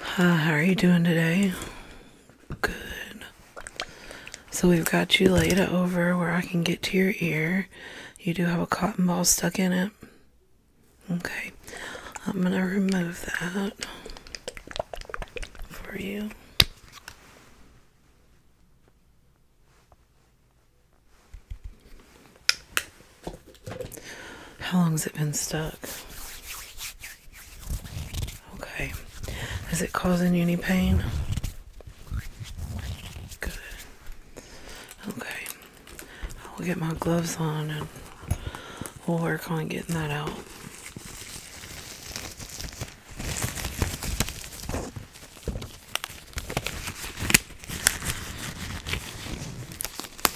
how are you doing today? Good. So we've got you laid over where I can get to your ear. You do have a cotton ball stuck in it. Okay. I'm going to remove that for you. How long has it been stuck? Okay. Is it causing you any pain? Good. Okay. I will get my gloves on and we'll work on getting that out.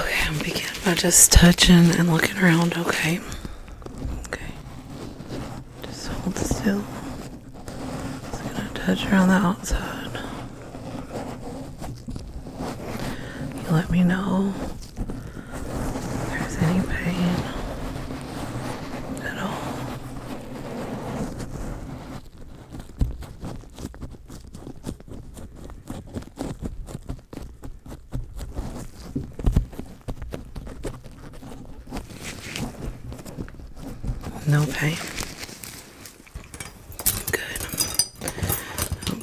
Okay, I'm beginning by just touching and looking around, okay? Okay. Just hold still. Just gonna touch around the outside. You let me know if there's any pain at all. No pain. Good.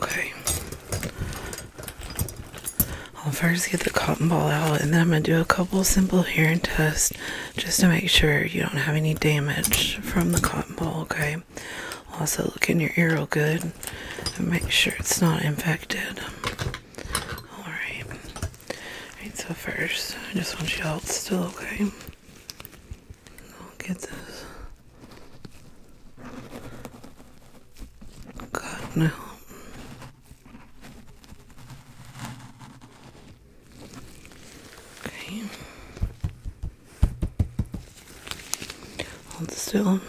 Okay. I'll first get the cotton ball out and then I'm going to do a couple simple hair and tests just to make sure you don't have any damage from the cotton ball, okay? Also, look in your ear real good and make sure it's not infected. Alright. Alright, so first, I just want you all to still okay. I'll get this. God, no. Okay. Hold still.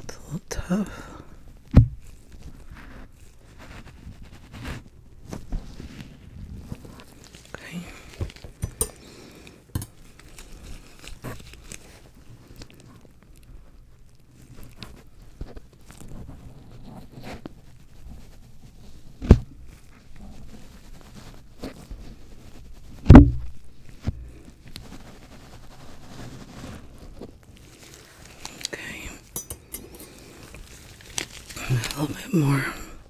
It's a little tough. Okay. Okay. A little bit more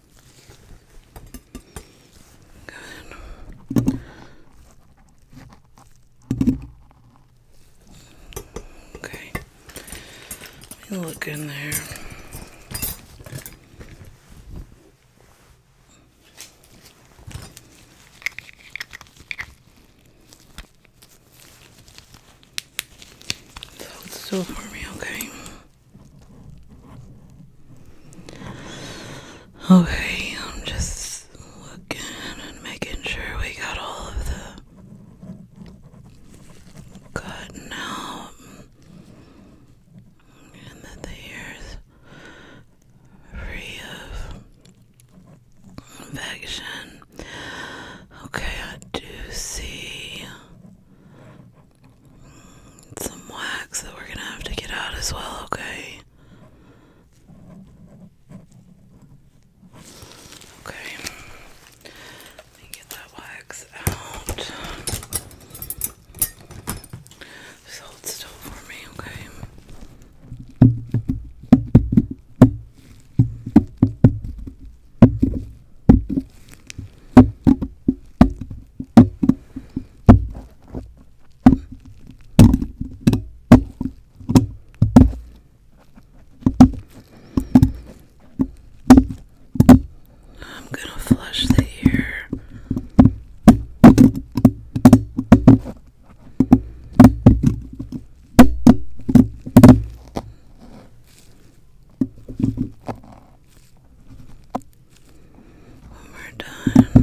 Good. Okay. look in there. So it's still for me, okay? Okay, I'm just looking and making sure we got all of the cotton out and that the hair free of infection. Okay, I do see some wax that we're gonna have to get out as well, okay? Okay, let me get that wax out. Just hold still for me, okay? I'm going to flush the ear. One more time. All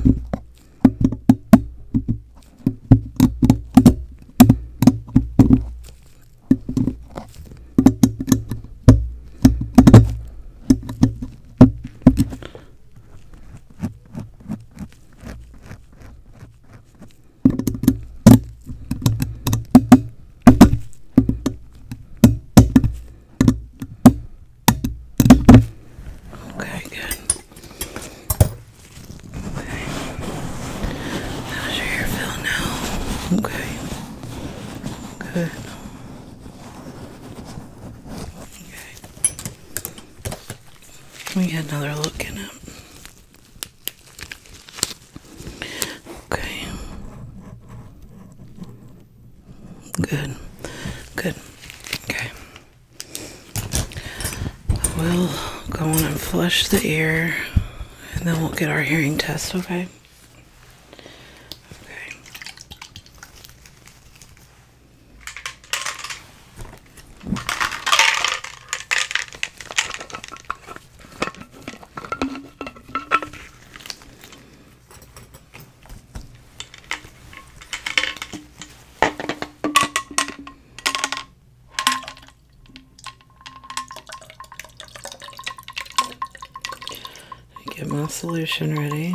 Okay, good. Okay. How's your hair feel now? Okay. Good. Okay. Let me get another look in it. Okay. Good. Good. Okay. We'll go on and flush the ear and then we'll get our hearing test, okay? Okay. Get my solution ready.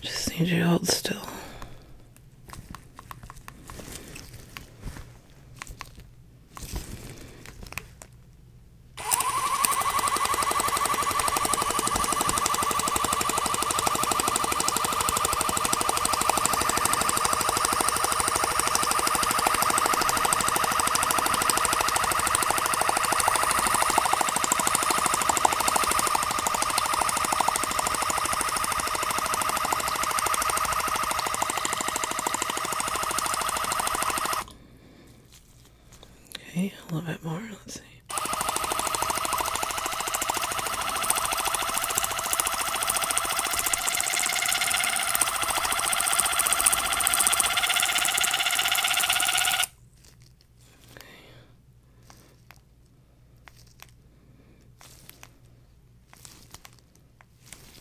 Just need you to hold still. Okay, a little bit more. Let's see.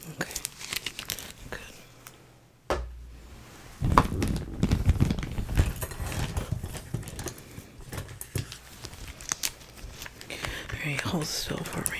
Okay. Okay. Good. All right, hold still for me.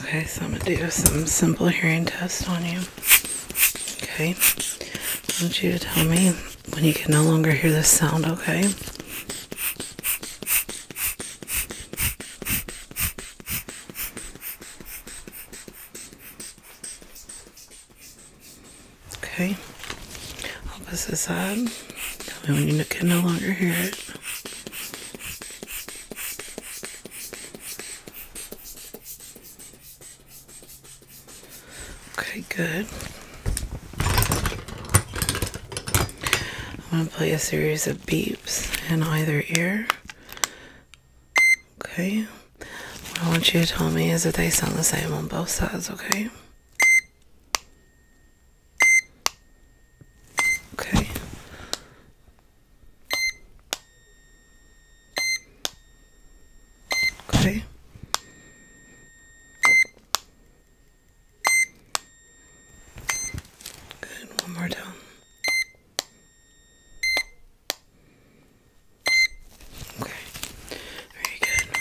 Okay, so I'm going to do some simple hearing test on you. Okay, I want you to tell me when you can no longer hear this sound, okay? Okay, opposite side. Tell me when you can no longer hear it. Okay, good. I'm going to play a series of beeps in either ear. Okay. What I want you to tell me is that they sound the same on both sides, okay? Okay. Okay. Good. One more down. Okay. Very good.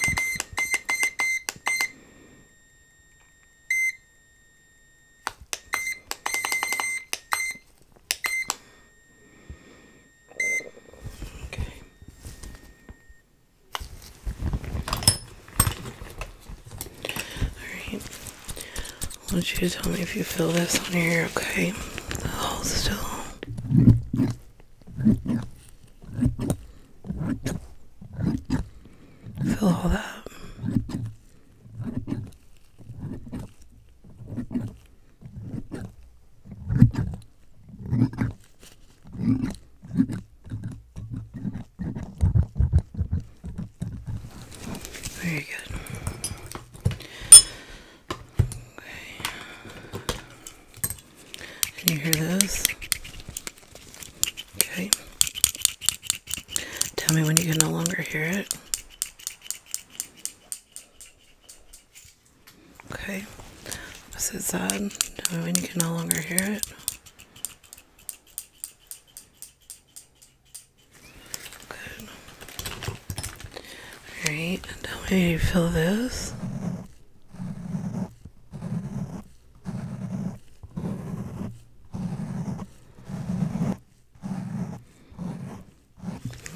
Okay. Alright. I want you to tell me if you feel this on here, okay? Hold all that. Very good. Okay. Can you hear those? Okay. Tell me when you can no longer hear it. Okay. Opposite side. Tell me when you can no longer hear it. Good. Alright, tell me how you feel this.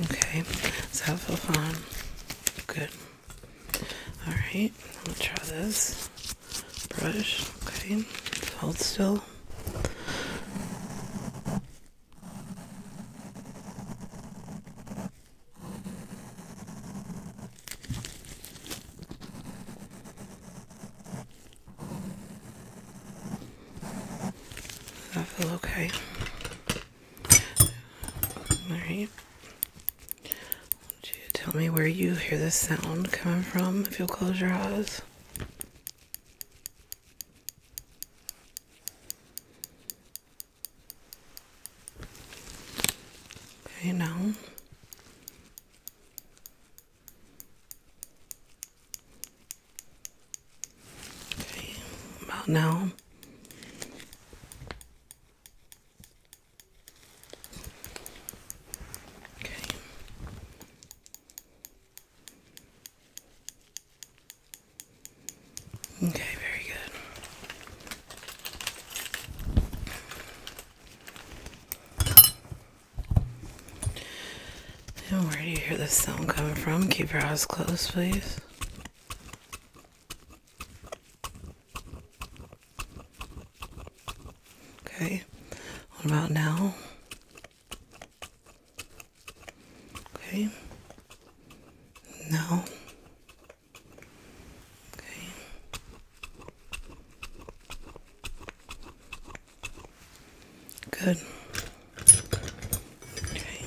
Okay, does have feel fun. Good. Alright, I'm gonna try this brush. Okay, hold still. I feel okay. Alright. Would you tell me where you hear this sound coming from if you'll close your eyes? Okay, now Okay, about now. Okay. Okay, very good. And where do you hear this sound coming from? Keep your eyes closed, please. Okay, what about now? Okay, now. Okay. Good. Okay.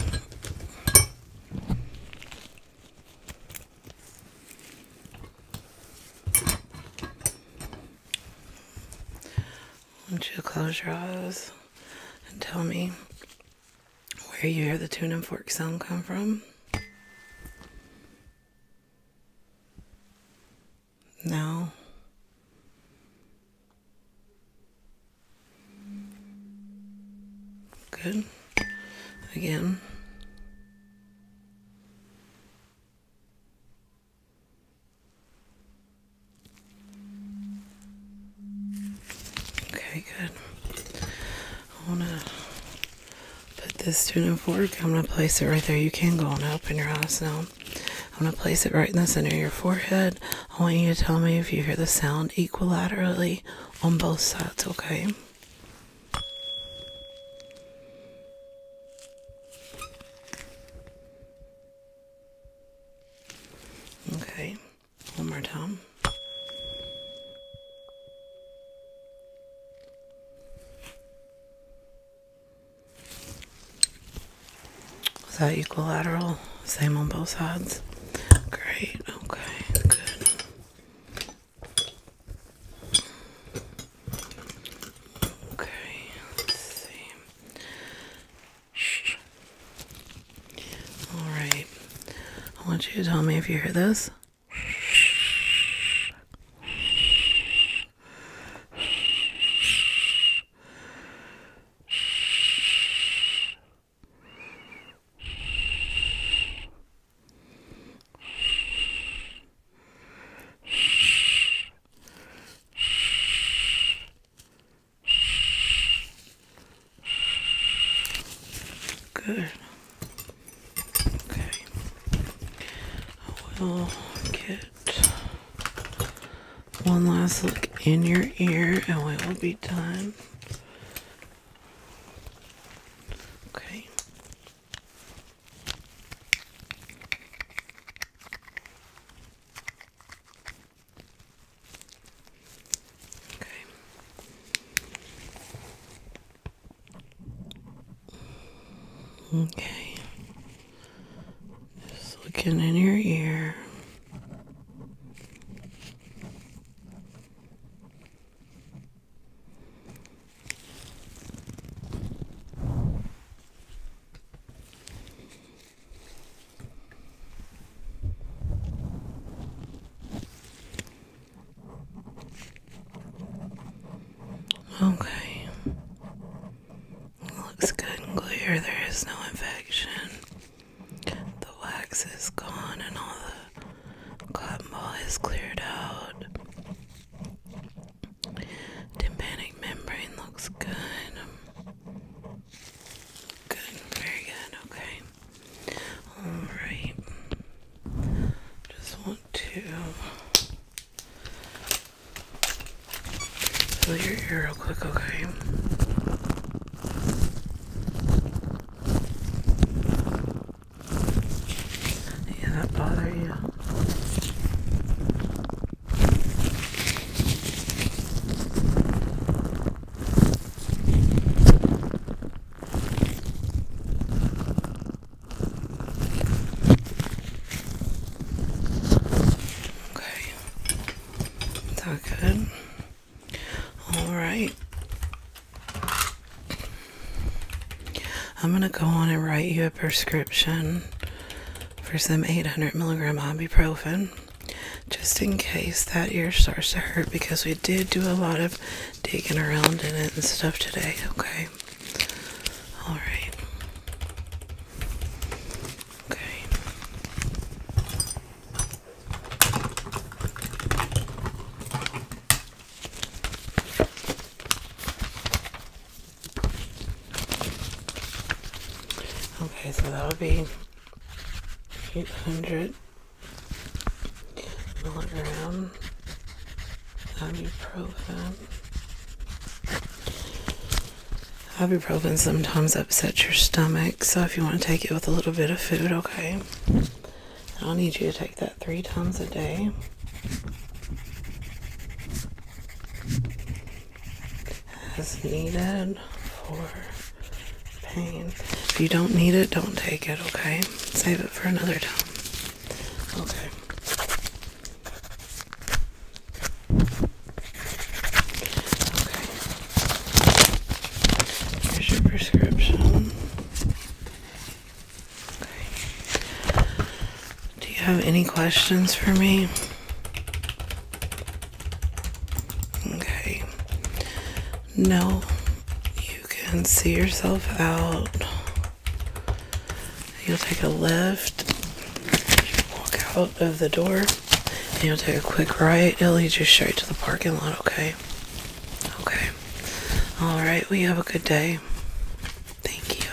want you to close your eyes and tell me where you hear the tune and fork sound come from. No. Good. Again. Okay, good. I want to put this tuna fork, I'm going to place it right there. You can go and open your eyes now. I'm going to place it right in the center of your forehead. I want you to tell me if you hear the sound equilaterally on both sides, okay? Okay, one more time. Is that equilateral? Same on both sides? Great, okay, good. Okay, let's see. All right. I want you to tell me if you hear this. Good. Okay. I will get one last look in your ear and we will be done. Okay. Okay. Okay. Just looking in your ear. Okay. Looks good and clear. There is no infection. The wax is gone and all the cotton ball is cleared out. Tympanic membrane looks good. Good, very good, okay. Alright. Just want to Feel your ear real quick, okay? Yeah, that bother you. Okay. Is that good? All right. I'm going to go on and write you a prescription for some 800 milligram ibuprofen just in case that ear starts to hurt because we did do a lot of digging around in it and stuff today, okay? All right. Okay. Okay, so that'll be 800 milligram ibuprofen. Ibuprofen sometimes upsets your stomach, so if you want to take it with a little bit of food, okay. I'll need you to take that three times a day. As needed for pain. If you don't need it, don't take it, okay? Save it for another time. Okay. Here's your prescription. Do you have any questions for me? Okay. No. You can see yourself out. You'll take a left, walk out of the door, and you'll take a quick right. It'll show you to the parking lot, okay? Okay. Alright, we have a good day. Thank you.